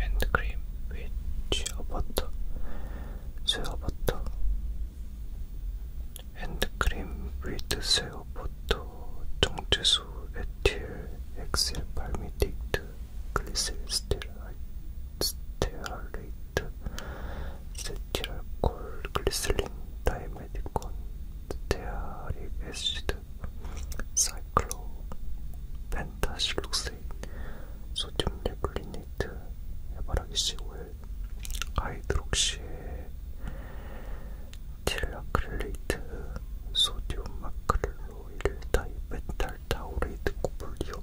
핸드크림 with 쥐어버터 쇠어버터 핸드크림 with 쇠어버터 정제수 에틸 엑셀 발미딕트 글리세린, 스테아레이트, 세틸알콜, 글리세린, 다이메디콘, 스테아릭 애시드, 사이클로, 펜타실록세인, 소듐 레블리네이트, 해바라기 시오일, 하이드록시에, 틸라크릴레이트, 소듐 마크릴로일, 다이메탈, 타우레이드, 코블리오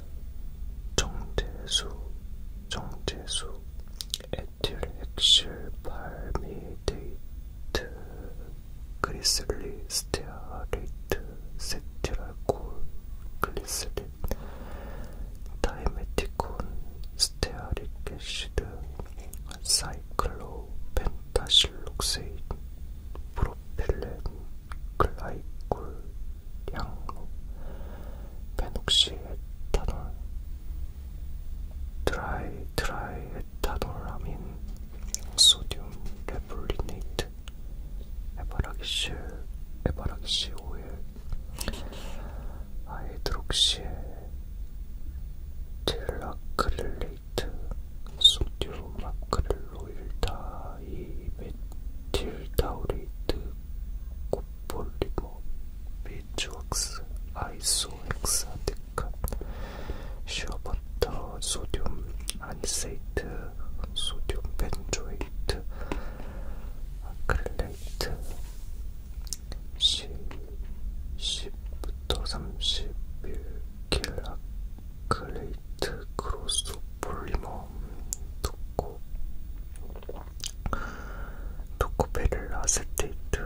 정제수, 정제수, 에틸 핵실 발미데이트, 그리슬리 스테아레이트, 세티랄콜, 글리스린, 다이메티콘, 스테아릭 애시드, 사이클로, 펜타실록세인, 프로필렌, 글라이콜 양로 페녹시에탄올 드라이 드라이에탄올라민 소듐 레볼리네이트 에바라기시 에바라기시 오일 하이드록시 딜라크릴레이트 소듐 마크릴로일다 제가 이 메틸다우레이트 코폴리머 비주웍스 아이소엑사데칸 슈어버터 소듐 안세이트 소듐 벤조에이트 아크릴레이트 10, 10부터 31킬 아크릴 화이트 크로스 폴리머 토코 토코베릴 아세테이트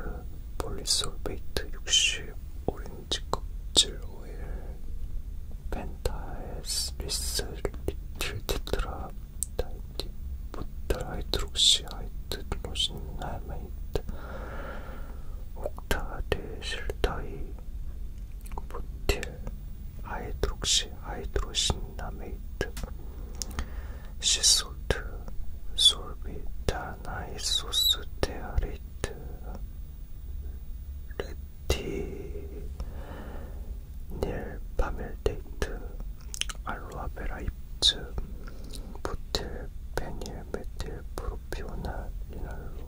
폴리솔베이트 60 오렌지 껍질 오일 펜타에스 리스 리틀 테트라 다이티 부탈 하이드록시 하이드 로신 나메이트 옥타데 실타이 보틸 아이드록시 아이드로신나메이트 시솔트 솔비타나이소스 테아레이트 레티 닐 파멜데이트 알로아베라 잎즙 부틸 페닐 메틸 프로피오나 리날로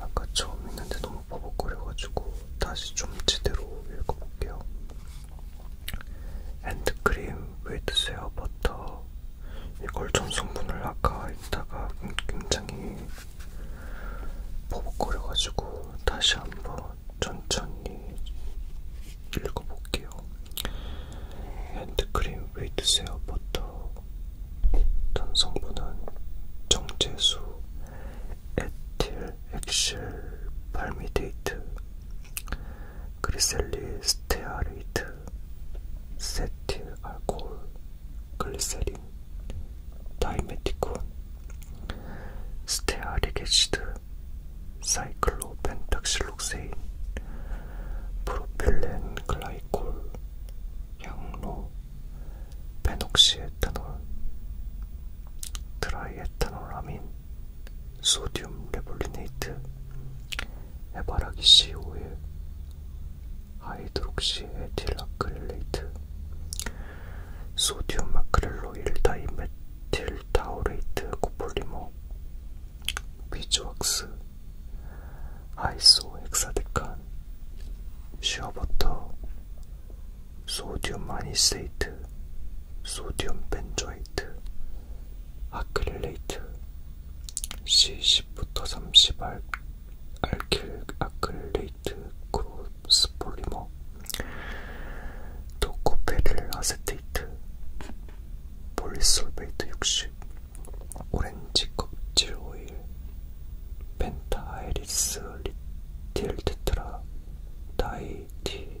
아까 처음 읽는데 너무 버벅거려가지고 다시 좀 제대로 읽어볼게요. 핸드크림, 웨이트세어, 버터 이걸 전성분을 아까 있다가 음, 굉장히 버벅거려가지고 다시 한번 천천히 읽어볼게요. 핸드크림, 웨이트세어, 버터 전성분은 정제수, 에틸 엑실 발미데이트 그리셀리 스테아레이트 세틸 알코올 글리세린 다이메티콘 스테아리게시드 사이클로펜탁실록세인 프로필렌 글라이콜 향로 베녹시에탄올 드라이에탄올아민 소디움 레볼리네이트, 해바라기 CO1, 하이드록시 에틸 아크릴레이트, 소디움 아크릴로 1다이메틸 타우레이트 코폴리머, 비즈왁스, 아이소 엑사데칸, 슈어버터, 소디움 아니세이트, 소디움 벤조이트, 아크릴레이트, C10부터 30 알, 알킬 아크릴레이트 크로스 폴리머, 도코페릴 아세테이트, 폴리솔베이트 60, 오렌지 껍질 오일, 펜타아이리스 리틸 테트라, 다이티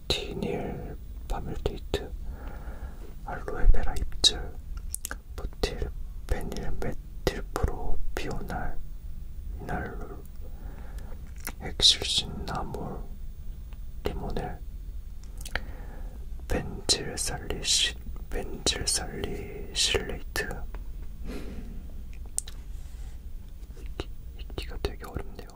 티닐 파밀데이트 알로에베라 잎질 부틸 페닐 메틸프로 비오날 이날룰 엑실신 나몰 리모넬 벤질살리 시, 벤질살리 실레이트 읽기가 되게 어렵네요.